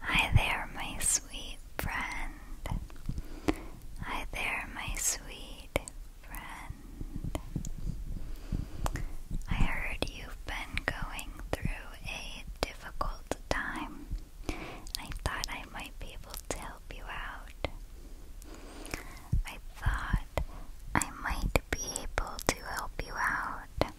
Hi there, my sweet friend. Hi there, my sweet friend. I heard you've been going through a difficult time. I thought I might be able to help you out. I thought I might be able to help you out.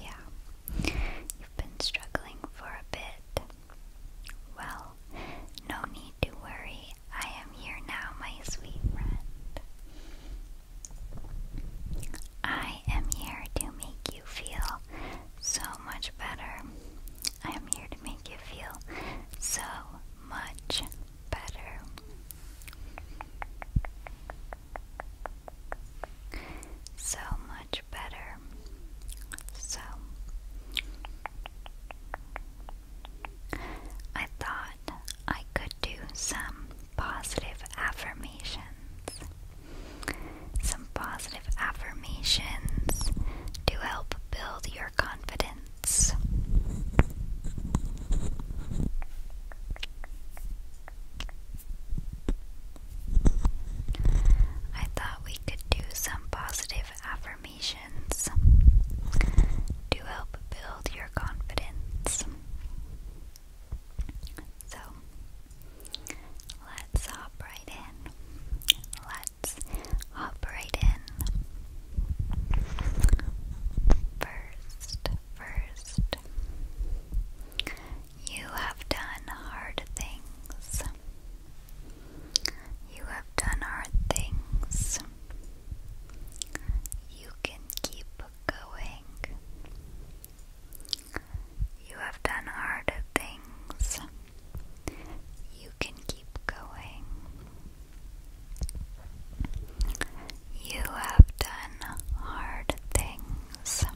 Yeah, you've been struggling for a bit. Well, no need to worry. I am here now, my sweet friend. I am here to make you feel so much better. I am here to make you feel so much better. So much better. So I thought I could do some positive affirmations. Some positive affirmations to help build your confidence. I thought we could do some positive affirmations to help build your confidence. So let's hop right in. Let's hop right in. First, first, you have done hard things. You have done hard things. You can keep going. You have done hard things. You can keep going. You have done hard things.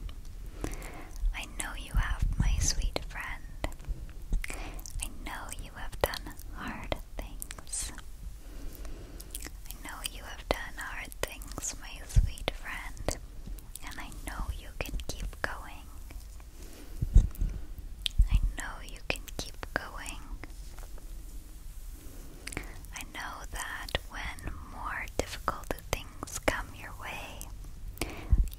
I know you have, my sweet friend. I know you have done hard things. I know you have done hard things, my sweet friend, and I know you can keep going. I know you can keep going. I know that when more difficult things come your way,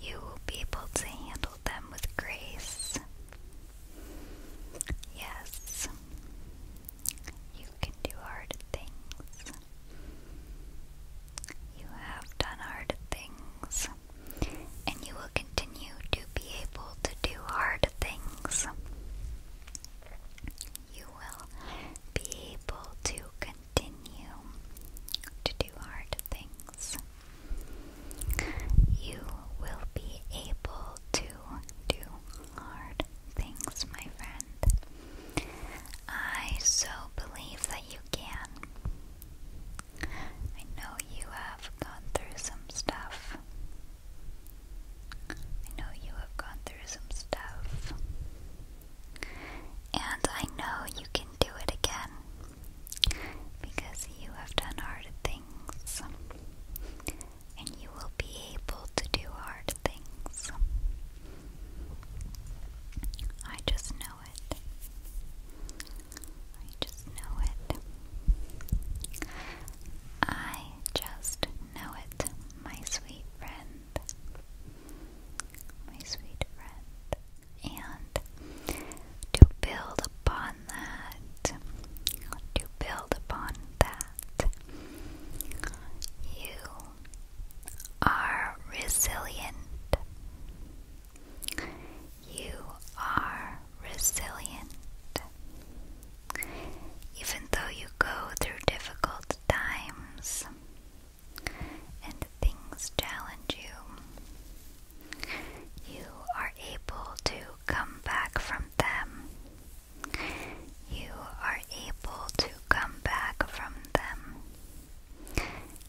you will be able to handle them with grace. Yes, you can do hard things. You have done hard things, and you will continue to be able to do hard things. You will be able to continue to do hard things. You will be able to do hard things, my friend. I so believe that you can. I know you have gone through some stuff. I know you have gone through some stuff. And I know you can do it again because you have done hard things and you will be able to do hard things. I just know it. I just know it. I just know it, my sweet friend my sweet friend. And to build upon that, to build upon that, you are resilient. You are resilient. Even though you go through difficult times, and things challenge you, you are able to come back from them. You are able to come back from them.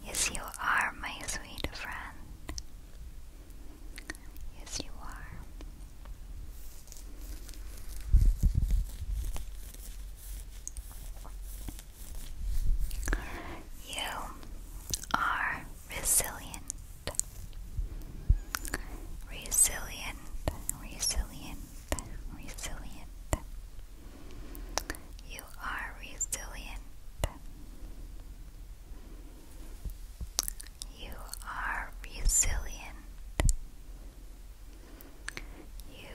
Yes, you are, my sweet friend. Yes, you are. You are resilient. Resilient, resilient, resilient. You are resilient. You are resilient. You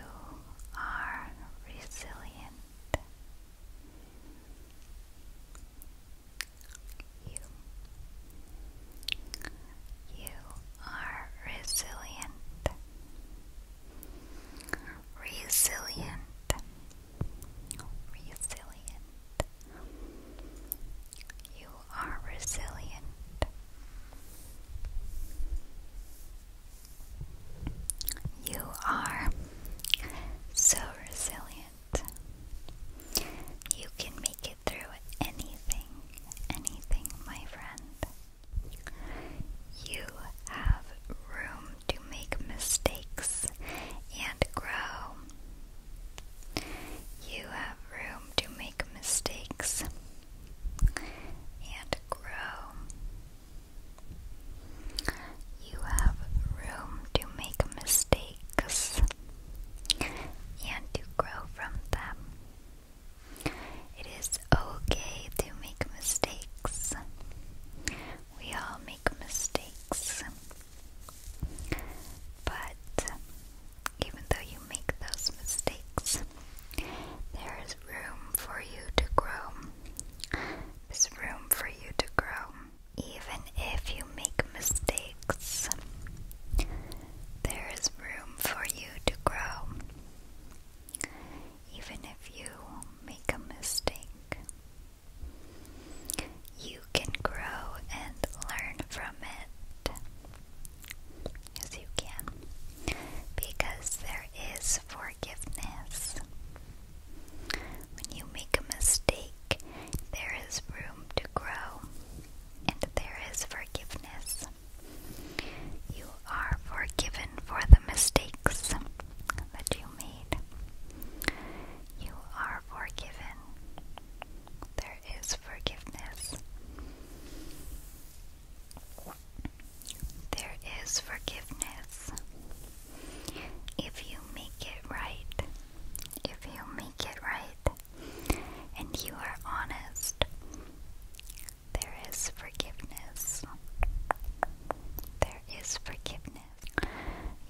are resilient. You. You are resilient. Resilient. Resilient. You are resilient. You are so resilient. You can make it through anything, anything, my friend. You have room to make mistakes and grow. You have room to make mistakes and grow. You have room to make mistakes and to grow from them. It is okay to make mistakes. We all make mistakes. But even though you make those mistakes, there is room for you to grow. There's room for you to grow. Even if you make mistakes, there is room for you to grow. Even if you make a mistake, you can grow and learn from it. Yes, you can. Because there is forgiveness. When you make a mistake, there is room to grow, and there is forgiveness. You are forgiven for the mistakes that you made. You are forgiven. There is forgiveness. There is forgiveness. If you make it right, if you make it right, and you are honest, there is forgiveness. There is forgiveness.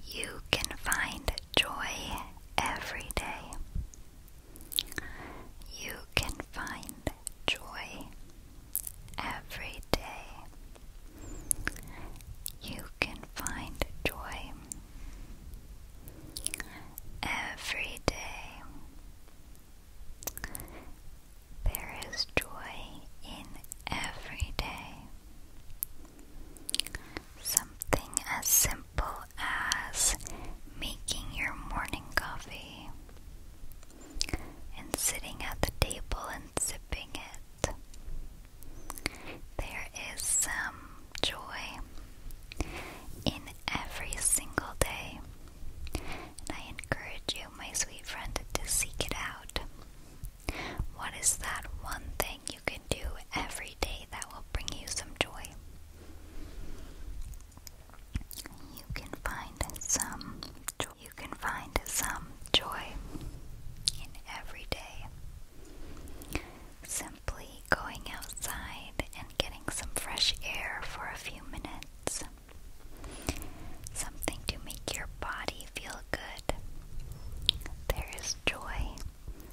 You can find joy every day. You can find joy every day you can find joy every day there is joy in every day something as simple as making your morning coffee and sitting at the table and sipping it. There is some joy in every single day, and I encourage you, my sweet friend, to seek it out. What is that one thing you can do every day that will bring you some joy? You can find some joy you can find some joy in every day. Simply going outside and getting some fresh air for a few minutes. Something to make your body feel good. There is joy.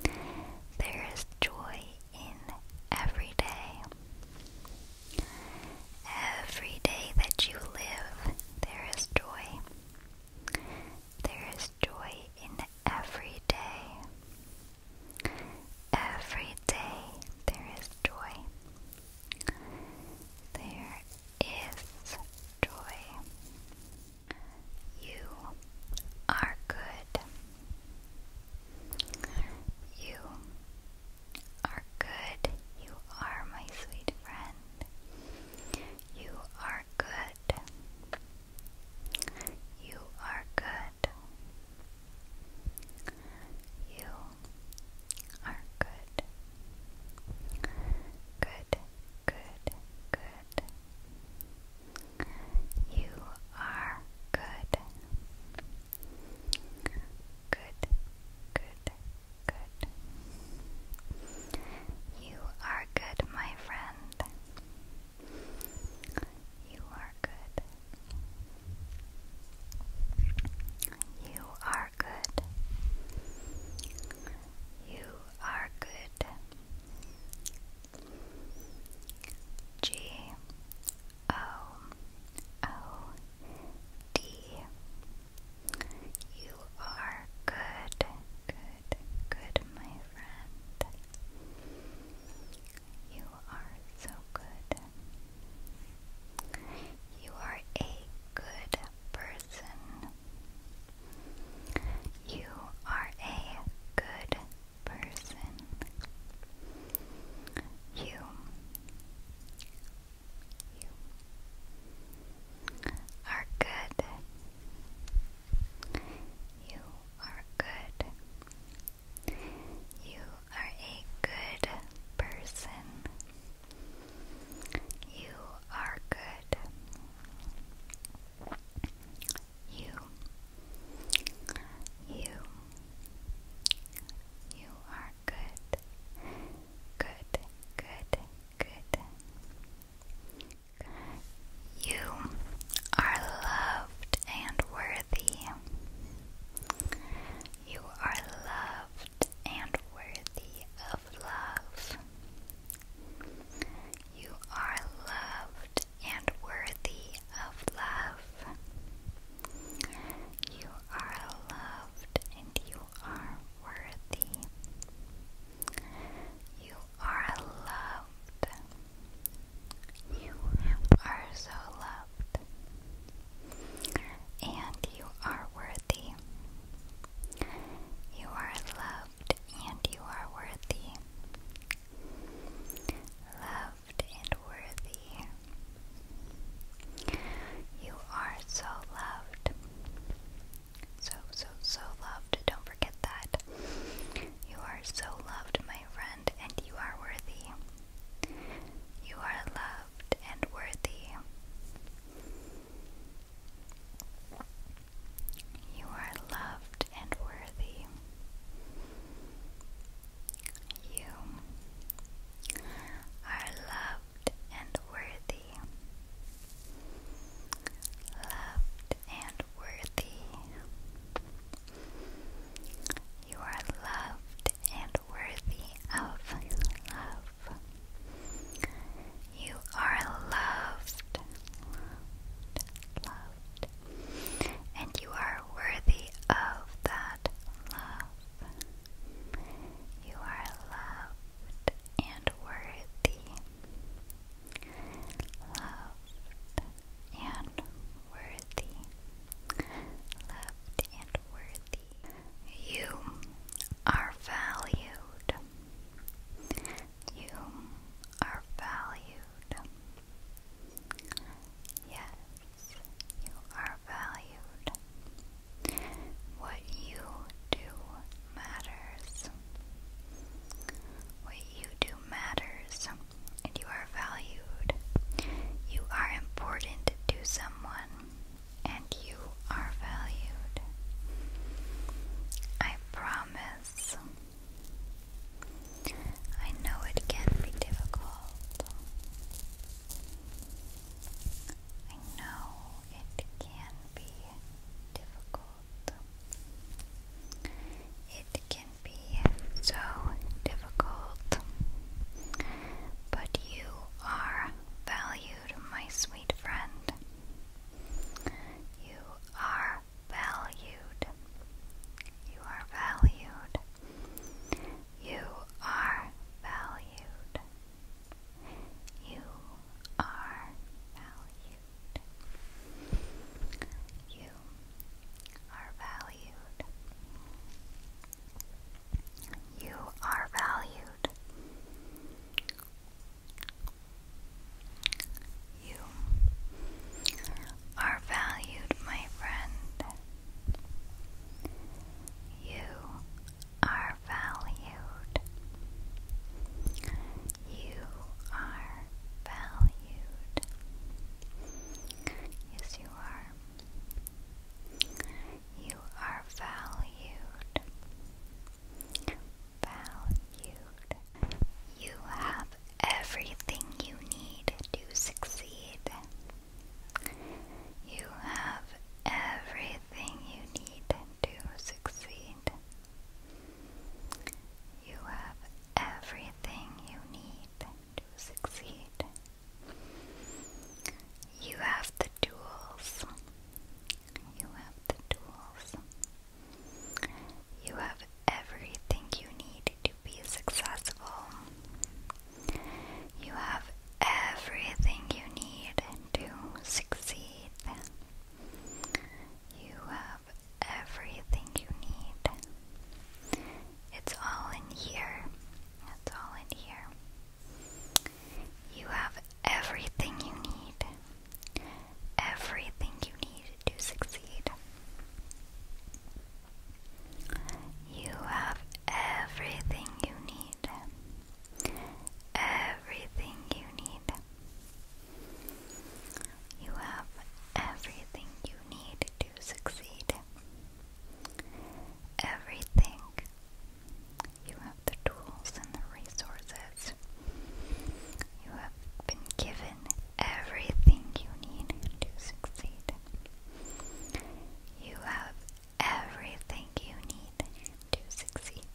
There is joy in every day. Every day that you live there is joy. There is joy in every day. Every day there is joy. There is joy. You are good. You are good. You are my sweet friend. You are good. You are good. You are good. Good, good, good. You are good. Good, good, you are good, my friend. You are good. You are good. You are good. G O O D. You are good, good, good, my friend. You are so good. You are a good person. You are a good person. You you are good. You are good. You are a good person. You are good. You. You. You are good. Good. Good. You are loved and worthy. You are loved and worthy of love. You are loved and worthy of love. You are loved and you are worthy. You are loved. You are so loved. And you are worthy. You are loved and you are worthy. Loved and worthy. You are so loved. So, so, so loved. Don't forget that. You are so loved, my friend, and you are worthy. You are loved and worthy. You are loved and worthy. You are and worthy. Loved and worthy. You are loved and worthy of love. You are loved, loved, and you are worthy of that love. You are loved and worthy, loved and worthy, loved and worthy. You are valued. You are valued. Yes, you are valued. What you do matters. What you do matters, and you are valued. You are important to someone, and you are valued. I promise. I know it can be difficult. I know it can be difficult. It can be so difficult. But you are valued, my sweet friend. You are valued. You are valued. You are valued. You are valued. You are valued. You are valued. You are valued, my friend. You are valued. You are valued. Yes, you are. You are valued. Valued. You have everything you need to succeed. You have everything you need to succeed. You have everything you need to succeed. You have the tools. You have the tools. You have everything you need to be successful. You have everything you need to succeed. You have everything you need. It's all in here. It's all in here. You have everything you need. Everything you need to succeed. You have everything you need need. Everything you need. You have everything you need to succeed. Everything. You have the tools and the resources. You have been given everything you need to succeed. You have everything you need to succeed.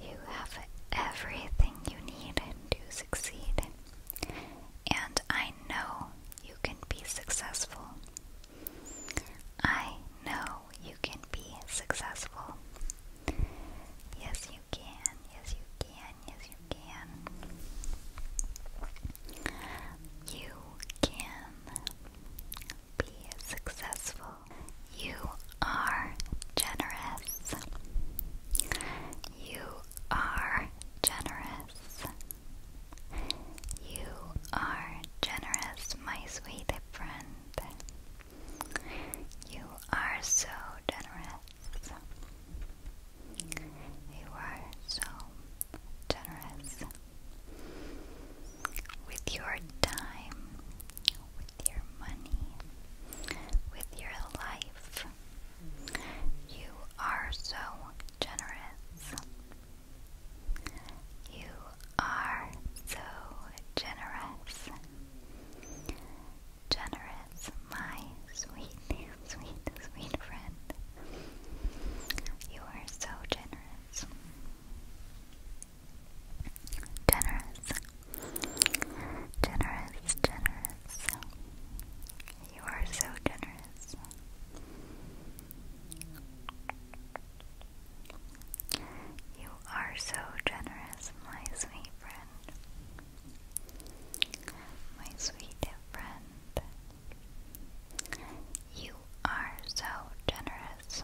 You have everything you need to succeed, and I know you can be successful. I know you can be successful. Yes, you can. Yes, you can. Yes, you can. You can be successful. You are generous. You are generous. You are generous, my sweet friend. You are so generous. You are so generous with your time, with your money, with your life. You are so generous. You are so generous. Generous, my sweet, sweet, sweet friend. You are so generous. Generous. Generous, generous. You are so generous. You are so generous, my sweet friend. My sweet friend. You you are so generous.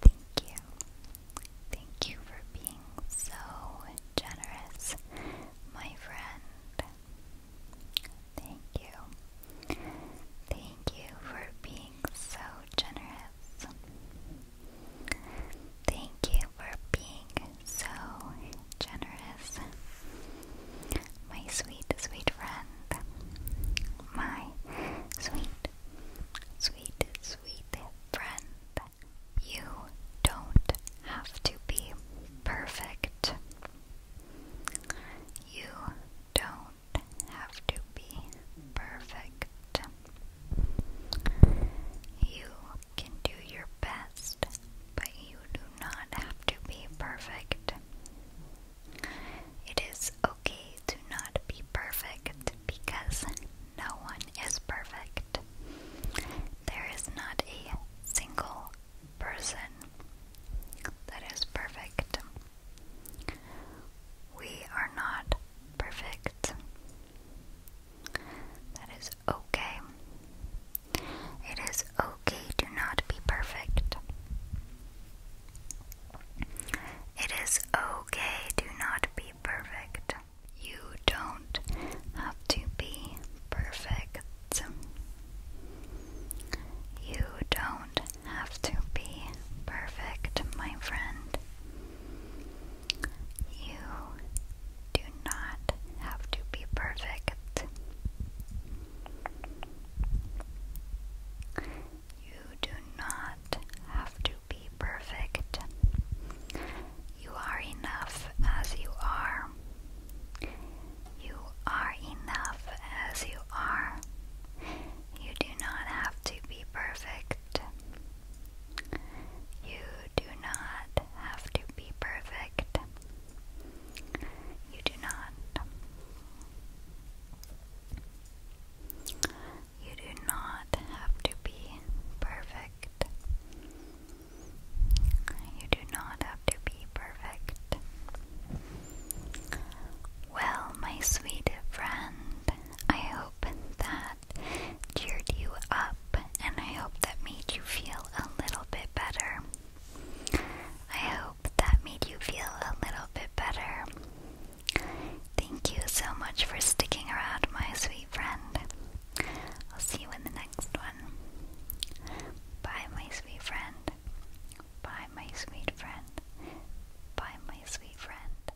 Thank you. Thank you for being so generous, my friend. Thank you. Thank you for being so generous. Thank you for being so generous. My sweet, sweet friend my sweet, sweet, sweet friend. You don't have to be perfect. You don't have to be perfect. You can do your best, but you do not have to be perfect. It is okay to not be perfect because no one is perfect. There is not a single person that is perfect. We are not perfect. That is okay. It is okay to not be perfect. It is okay to not be perfect. You don't have to be perfect. You don't have to be perfect, my friend. You do not have to be perfect. You do not have to be perfect. You are enough as you are. You are enough as you are. You do not have to be perfect. You do not have to be perfect. You do not. You do not have to be perfect. You do not have to be perfect. Well, my sweet friend, I hope that cheered you up and I hope that made you feel a little bit better. I hope that made you feel a little bit better. Thank you so much for sticking around, my sweet friend. I'll see you in the next one. Bye, my sweet friend. Bye, my sweet friend. Bye, my sweet friend.